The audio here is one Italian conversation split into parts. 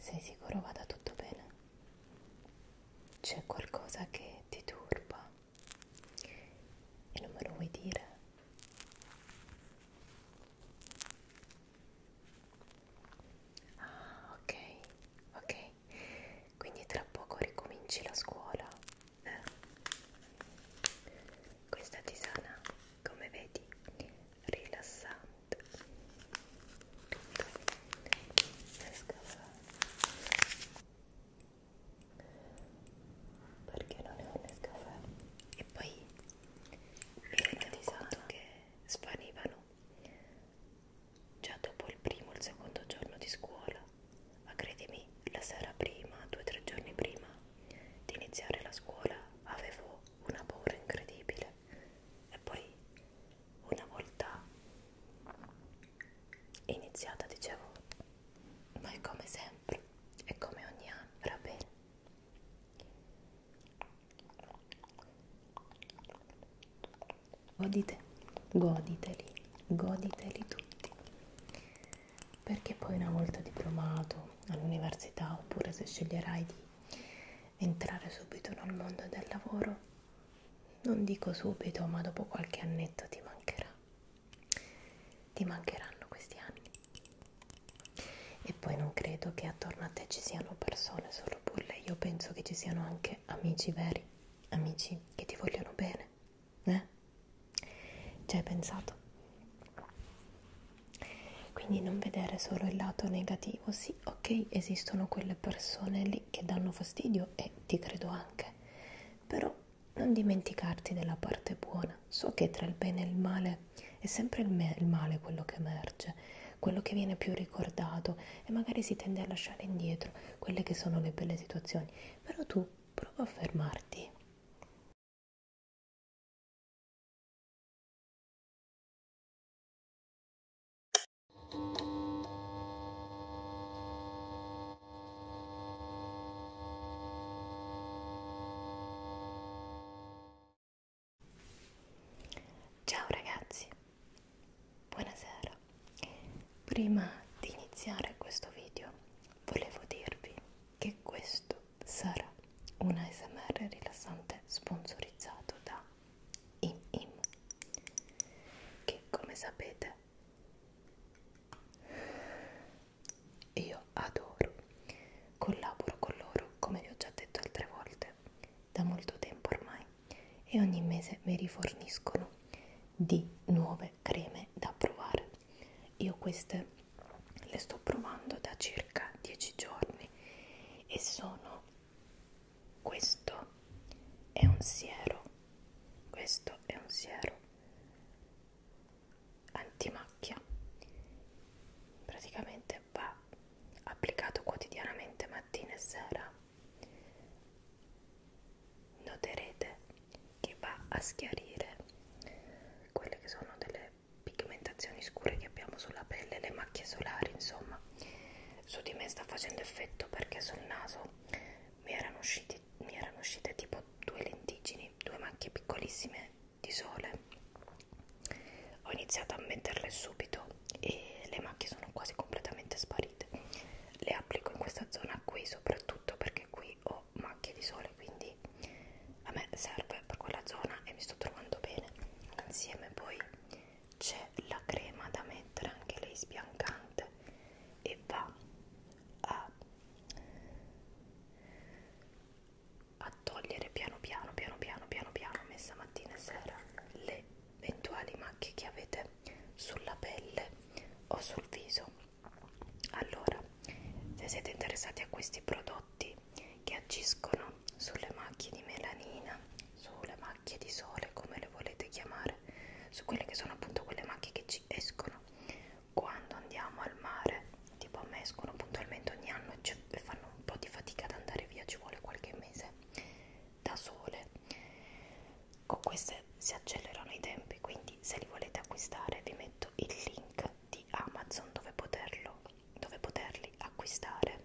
Sei sicuro vada tutto bene? C'è qualcosa che ti turba e non me lo vuoi dire? Ah, ok, ok. Quindi tra poco ricominci la scuola eh. questa tisana come vedi rilassante perché non è un Nescafè e poi mi rendo conto che svanivano già dopo il primo o il secondo giorno di scuola ma credimi, la sera prima, due o tre giorni prima di iniziare la scuola, avevo una paura incredibile. E poi, una volta iniziata, dicevo, ma è come sempre, è come ogni anno, va bene. Godite, goditeli, goditeli tutti perché poi una volta diplomato all'università oppure se sceglierai di entrare subito nel mondo del lavoro, non dico subito, ma dopo qualche annetto ti mancherà. Ti mancheranno questi anni. E poi non credo che attorno a te ci siano persone solo burle, io penso che ci siano anche amici veri, amici che ti vogliono bene, eh? Ci hai pensato? Quindi non vedere solo il lato negativo, sì, ok, esistono quelle persone lì che danno fastidio e ti credo anche, però non dimenticarti della parte buona. So che tra il bene e il male è sempre il, me, il male quello che emerge, quello che viene più ricordato e magari si tende a lasciare indietro quelle che sono le belle situazioni, però tu prova a fermarti. Ciao ragazzi, buonasera, prima di iniziare questo video volevo dirvi che questo sarà un ASMR rilassante sponsorizzato da ImIm che come sapete io adoro collaboro con loro come vi ho già detto altre volte da molto tempo ormai e ogni mese mi riforniscono di nuove due creme da provare io queste le sto provando da circa 10 giorni e sono questo è un siero questo è un siero antimacchia praticamente va applicato quotidianamente mattina e sera noterete che va a schiarire quelle che sono delle pigmentazioni scure che abbiamo sulla pelle, le macchie solari, insomma, su di me sta facendo effetto perché sul naso mi erano, usciti, mi erano uscite tipo due lentigini, due macchie piccolissime di sole. Ho iniziato a metterle subito e le macchie sono quasi completamente sparite le applico in questa zona qui soprattutto perché qui ho macchie di sole quindi a me serve per quella zona e mi sto trovando bene insieme poi c'è la crema da mettere anche lei sbiancante e va a, a togliere piano piano piano piano piano piano messa mattina e sera le eventuali macchie che avete sulla pelle o sul viso allora se siete interessati a questi prodotti che agiscono sulle macchie di melanina sulle macchie di sole come le volete chiamare su quelle che sono appunto quelle macchie che ci escono quando andiamo al mare tipo a me escono puntualmente ogni anno e fanno un po' di fatica ad andare via ci vuole qualche mese da sole con queste si accelerano i tempi quindi se li volete acquistare vi metto il link di Amazon dove, poterlo, dove poterli acquistare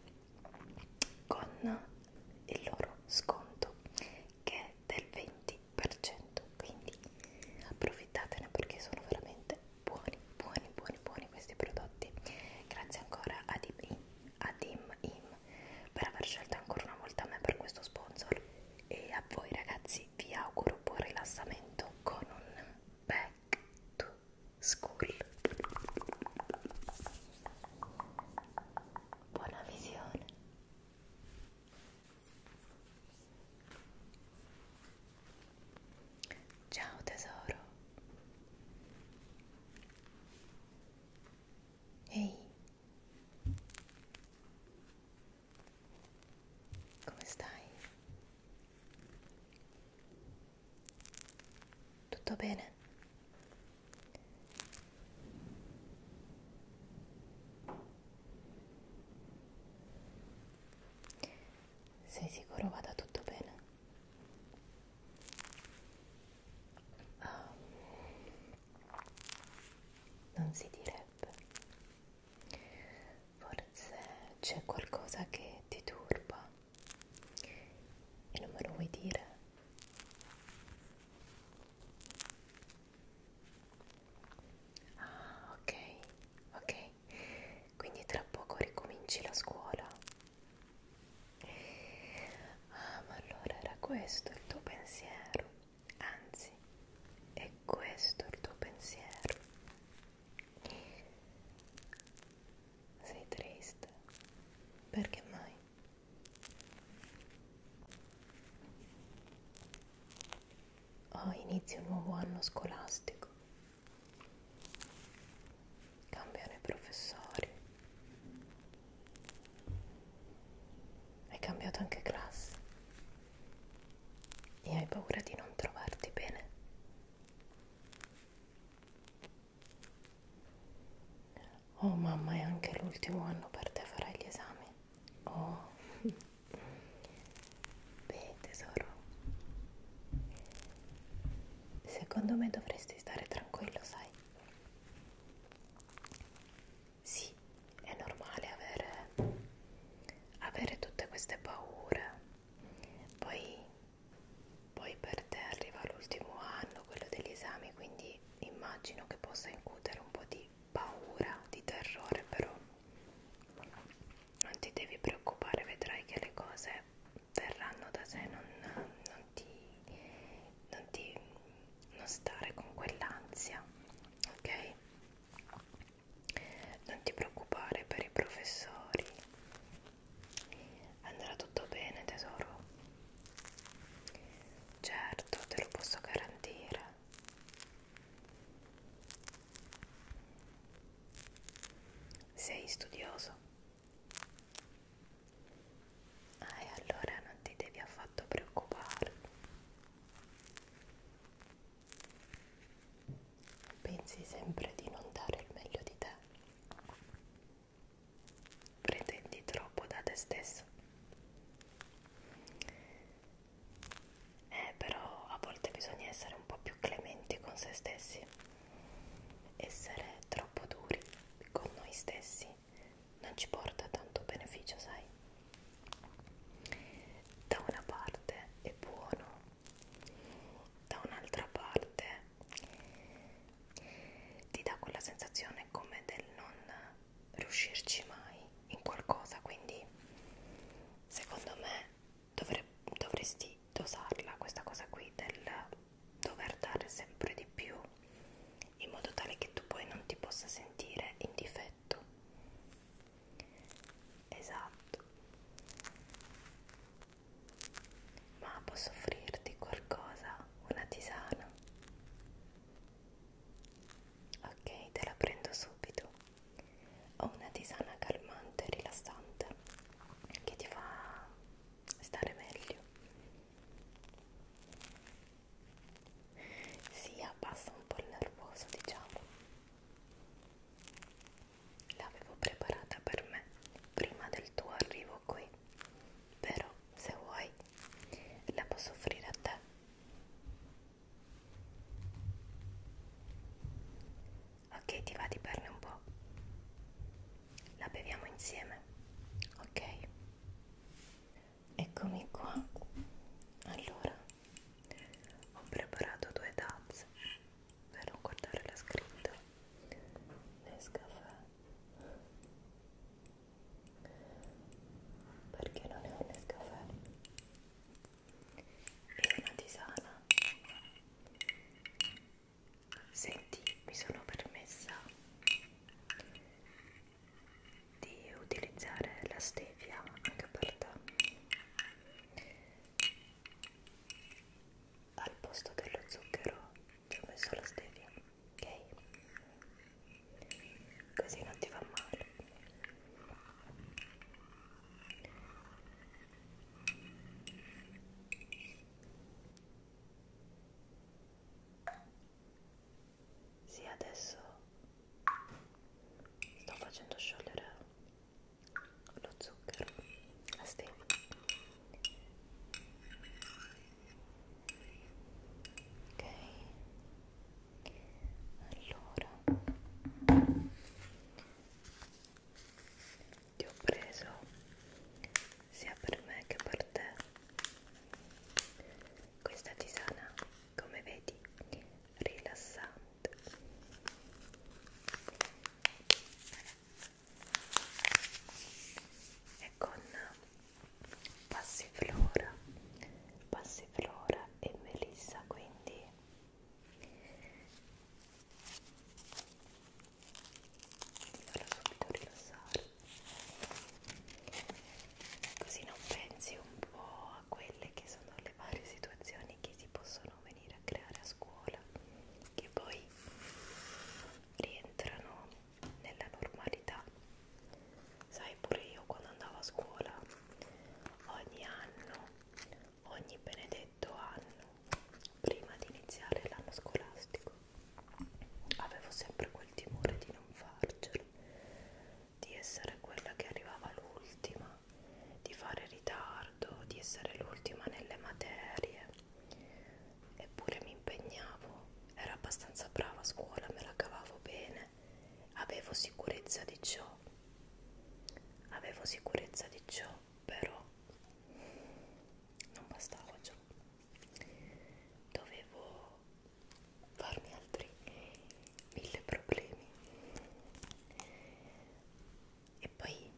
con il loro sconto che è del 20% quindi approfittatene perché sono veramente buoni buoni buoni buoni questi prodotti grazie ancora a Dim, a Dim Im per aver scelto ancora una volta me per questo sponsor e a voi ragazzi vi auguro buon rilassamento con un back to school buona visione ciao tesoro ehi come stai? Tutto bene? Sei sicuro vada tutto bene? um, non si direbbe forse c'è qualcosa che ti turba e non me lo vuoi dire ah ok ok quindi tra poco ricominci la scuola Ah, ma allora era questo il tuo pensiero, anzi, è questo il tuo pensiero. Sei triste? Perché mai? Oh, inizia un nuovo anno scolastico. Cambiano i professori. Hai cambiato anche classe e hai paura di non trovarti bene. Oh mamma, è anche l'ultimo anno per te farai gli esami. Oh. Beh, tesoro. Secondo me dovresti stare tranquillo, sai? Sì, è normale avere, avere tutte queste paure, poi, poi per te arriva l'ultimo anno, quello degli esami, quindi immagino che possa incutere un po' di paura, di terrore, però non ti devi preoccupare, vedrai che le cose verranno da sé, non, non ti... Non ti non stare con quell'ansia, ok? Non ti preoccupare per i professori, andrà tutto bene tesoro. Certo, te lo posso garantire. Sei studioso? Ah, e allora non ti devi affatto preoccupare. Pensi sempre di non dare il meglio di te. Pretendi troppo da te stesso. Eh, però a volte bisogna essere un po' più clementi con se stessi. Essere troppo duri con noi stessi non ci porta tanto beneficio, sai? Da una parte è buono, da un'altra parte ti dà quella sensazione come del non riuscirci mai in qualcosa, quindi secondo me dovre dovresti dosarla questa cosa qui del dover dare sempre di più in modo tale che tu poi non ti possa sentire in difetto esatto ma posso offrirti qualcosa una tisana ok te la prendo subito ho una tisana calmante rilassante che ti fa stare meglio si abbassa un po' il nervoso diciamo l'avevo preparata per me prima del tuo arrivo qui però se vuoi la posso offrire a te ok ti va di berne un po' la beviamo insieme ok eccomi qua allora ho preparato due tazze per non guardare la scritta Nescafè perché non è un Nescafè e una tisana Senti, mi sono permessa di utilizzare la stevia anche per te al posto dello zucchero ci ho messo la stevia ok così non ti fa male sì, adesso sto facendo sciogliere lo zucchero a stevia. Ok. Allora ti ho preso sia per me che per te questa tisana come vedi rilassante e con passiflora passiflora e melissa quindi farlo subito rilassare così non pensi un po' a quelle che sono le varie situazioni che si possono venire a creare a scuola che poi rientrano nella normalità sai pure io quando andavo a scuola ogni anno ogni benedetto anno prima di iniziare l'anno scolastico avevo sempre quel timore di non farcela, di essere quella che arrivava l'ultima, di fare ritardo, di essere l'ultima nelle materie, eppure mi impegnavo, ero abbastanza brava a scuola, me la cavavo bene, avevo sicurezza di ciò, avevo sicurezza di ciò, però non bastava ciò dovevo farmi altri mille problemi e poi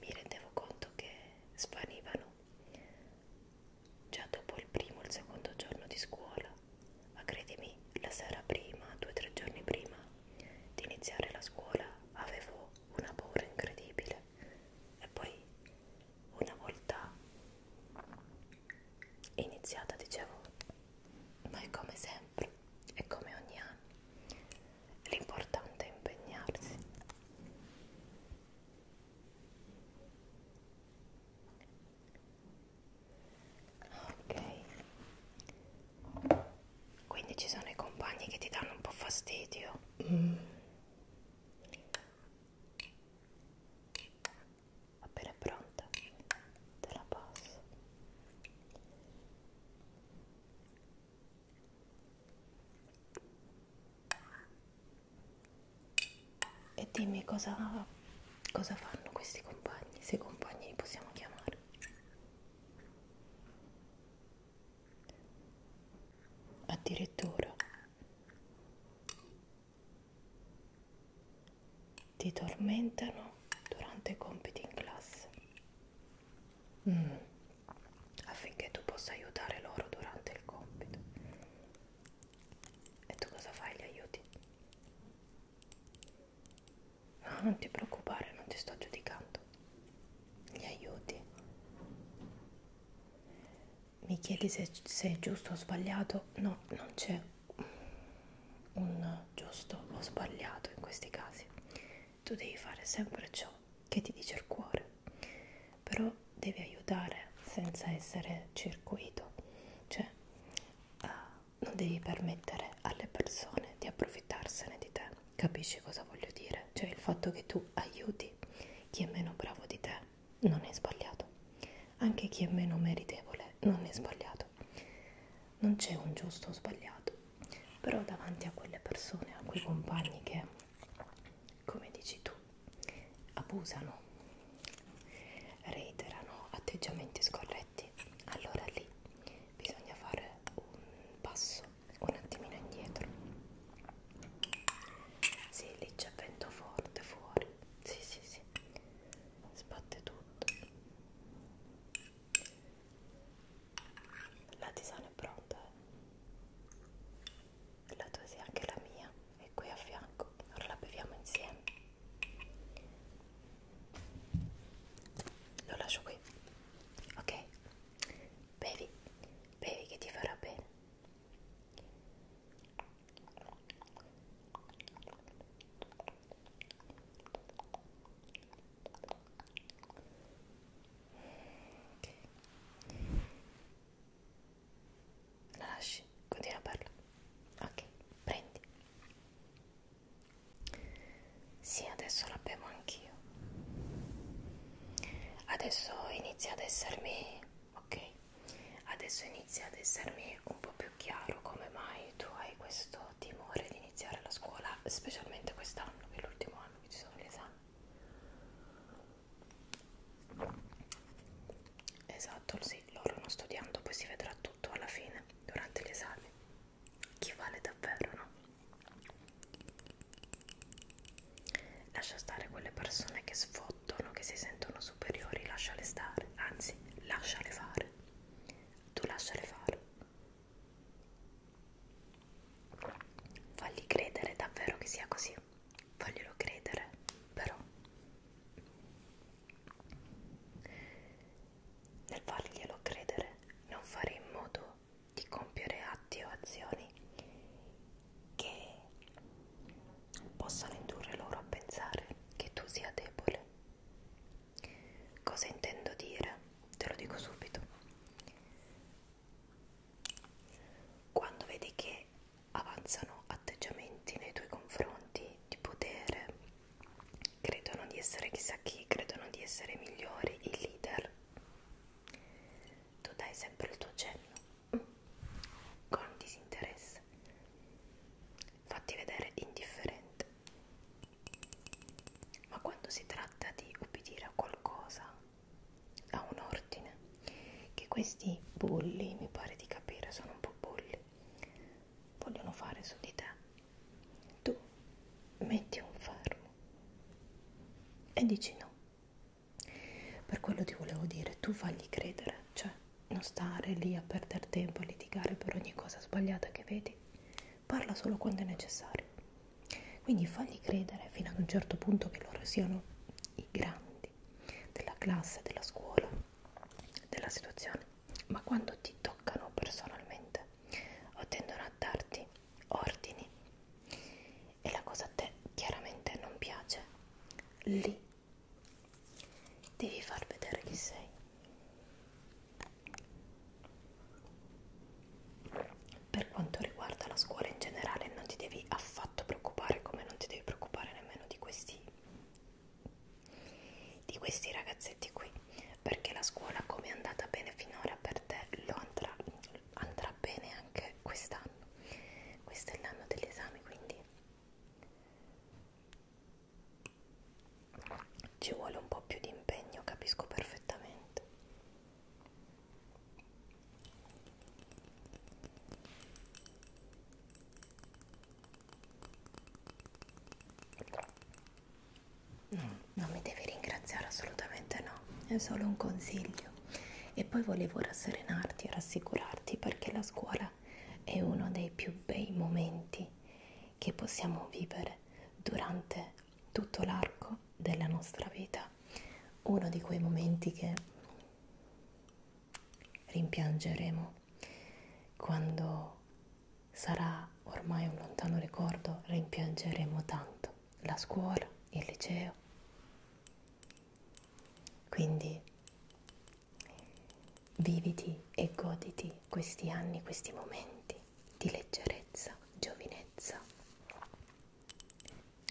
mi rendevo conto che svanivano già dopo il primo il secondo giorno di scuola ma credimi la sera prima due o tre giorni prima di iniziare la scuola avevo una paura incredibile luce e poi una volta iniziata dicevo ma è come sempre è come ogni anno l'importante è impegnarsi ok quindi ci sono i compagni che ti danno un po' fastidio. Mm. Appena pronta, te la passo. E dimmi cosa, cosa fanno questi compagni, se compagni li possiamo chiamare addirittura ti tormentano durante i compiti in classe mm. affinché tu possa aiutare loro durante il compito e tu cosa fai? Li aiuti? No, non ti preoccupare, non ti sto giudicando gli aiuti. Mi chiedi se, se è giusto o sbagliato? No, non c'è un giusto o sbagliato in questi casi. Tu devi fare sempre ciò che ti dice il cuore, però devi aiutare senza essere circuito, cioè uh, non devi permettere alle persone di approfittarsene di te Capisci cosa voglio dire? Cioè il fatto che tu aiuti chi è meno bravo di te non è sbagliato, anche chi è meno meritevole non è sbagliato. Non c'è un giusto o sbagliato, però davanti a quelle persone, a quei compagni che, come dici tu, abusano, reiterano atteggiamenti scorretti, allora lì bisogna fare un passo un attimino indietro sì lì c'è vento forte fuori sì sì sì sbatte tutto la tisana è pronta eh? la tua sì anche la mia è qui a fianco ora la beviamo insieme lo lascio qui ok Bevi, bevi che ti farà bene. Okay. La lasci, continua a parlare. Ok, prendi. Sì, adesso la bevo anch'io. Adesso inizia ad essermi, ok? Adesso inizia ad essermi un po' più chiaro come mai tu hai questo timore di iniziare la scuola, specialmente quest'anno, che è l'ultimo anno che ci sono gli esami. Esatto, sì, loro non studiando, poi si vedrà tutto alla fine, durante gli esami chi vale davvero, no? Lascia stare quelle persone che sfottono, che si sentono superiori, lasciale stare, anzi, lasciale fare. Tu lasciale fare. Fagli credere davvero che sia così. Faglielo credere, però. Nel farglielo credere, non fare in modo di compiere atti o azioni che possano indurre loro a pensare che tu sia debole. Cosa intendo dire? Te lo dico subito. Quando vedi che avanzano atteggiamenti nei tuoi confronti di potere, credono di essere chissà chi, credono di essere migliori, i leader. Tu dai sempre il tuo cenno, con disinteresse, fatti vedere indifferente. Ma quando si tratta di obbedire a qualcosa, a un ordine, che questi bulli, mi pare di capire, sono un po' bulli, vogliono fare su di te tu metti un fermo e dici no. Per quello ti volevo dire, tu fagli credere, cioè non stare lì a perdere tempo, a litigare per ogni cosa sbagliata che vedi, parla solo quando è necessario. Quindi fagli credere fino ad un certo punto che loro siano i grandi della classe, della scuola, della situazione, ma quando ti toccano personalmente o tendono a darti ordini e la cosa a te chiaramente non piace, lì devi far vedere chi sei. Per quanto riguarda la scuola in generale non ti devi affatto preoccupare come non ti devi preoccupare nemmeno di questi di questi ragazzetti qui perché la scuola come è andata bene finora per te lo andrà, andrà bene anche quest'anno questo è l'anno degli esami quindi ci vuole un po' più di impegno capisco perfettamente non mi devi ringraziare assolutamente no, è solo un consiglio. E poi volevo rasserenarti e rassicurarti perché la scuola è uno dei più bei momenti che possiamo vivere durante tutto l'arco della nostra vita. Uno di quei momenti che rimpiangeremo quando sarà ormai un lontano ricordo, rimpiangeremo tanto la scuola, il liceo. Quindi viviti e goditi questi anni, questi momenti di leggerezza, giovinezza,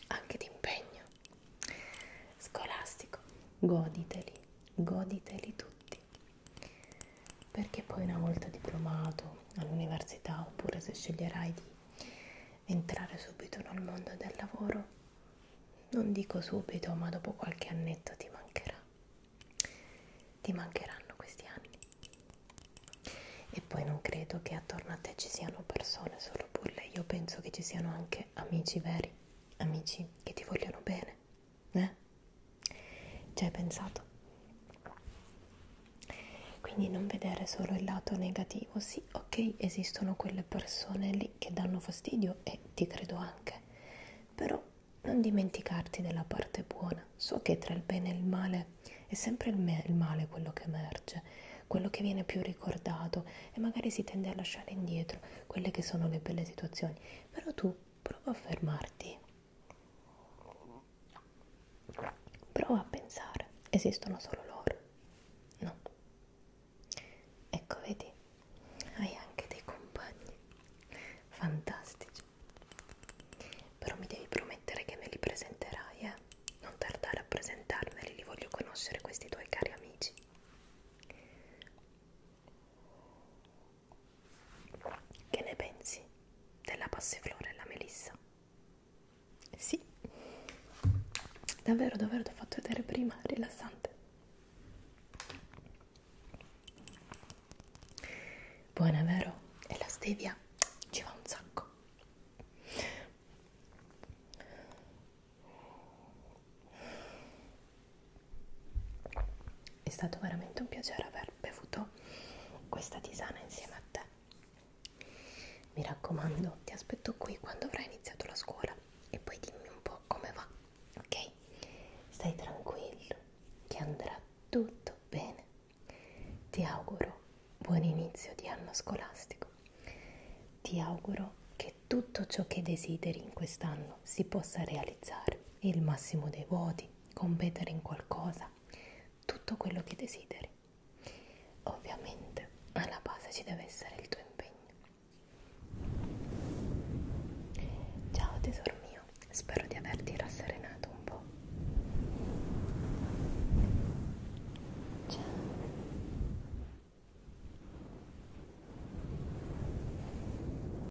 anche di impegno scolastico. Goditeli, goditeli tutti fatti perché poi una volta diplomato all'università oppure se sceglierai di entrare subito nel mondo del lavoro non dico subito ma dopo qualche annetto ti mancherà ti mancheranno questi anni e poi non credo che attorno a te ci siano persone solo bulle io penso che ci siano anche amici veri amici che ti vogliono bene eh? Ci hai pensato? Quindi non vedere solo il lato negativo, sì, ok, esistono quelle persone lì che danno fastidio e ti credo anche, però non dimenticarti della parte buona. So che tra il bene e il male è sempre il, me, il male quello che emerge, quello che viene più ricordato e magari si tende a lasciare indietro quelle che sono le belle situazioni, però tu prova a fermarti Prova a pensare, esistono solo loro? No. Ecco, vedi, hai anche dei compagni fantastici. Però mi devi promettere che me li presenterai, eh? Non tardare a presentarmeli, li voglio conoscere questi tuoi cari amici. Che ne pensi della passiflora e la melissa? Sì, davvero, davvero ti ho fatto vedere prima, rilassante. Buona, vero? E la stevia ci va un sacco. È stato veramente un piacere aver bevuto questa tisana insieme a te. Mi raccomando, ti aspetto qui quando avrai iniziato la scuola e poi dimmi un po' come va, ok? Stai tranquillo, che andrà tutto bene. Ti auguro buon inizio di anno scolastico. Ti auguro che tutto ciò che desideri in quest'anno si possa realizzare il massimo dei voti, competere in qualcosa, tutto quello che desideri. Ovviamente alla base ci deve essere il tuo impegno. Ciao tesoro mio, spero di averti rasserenato un po'. Ciao.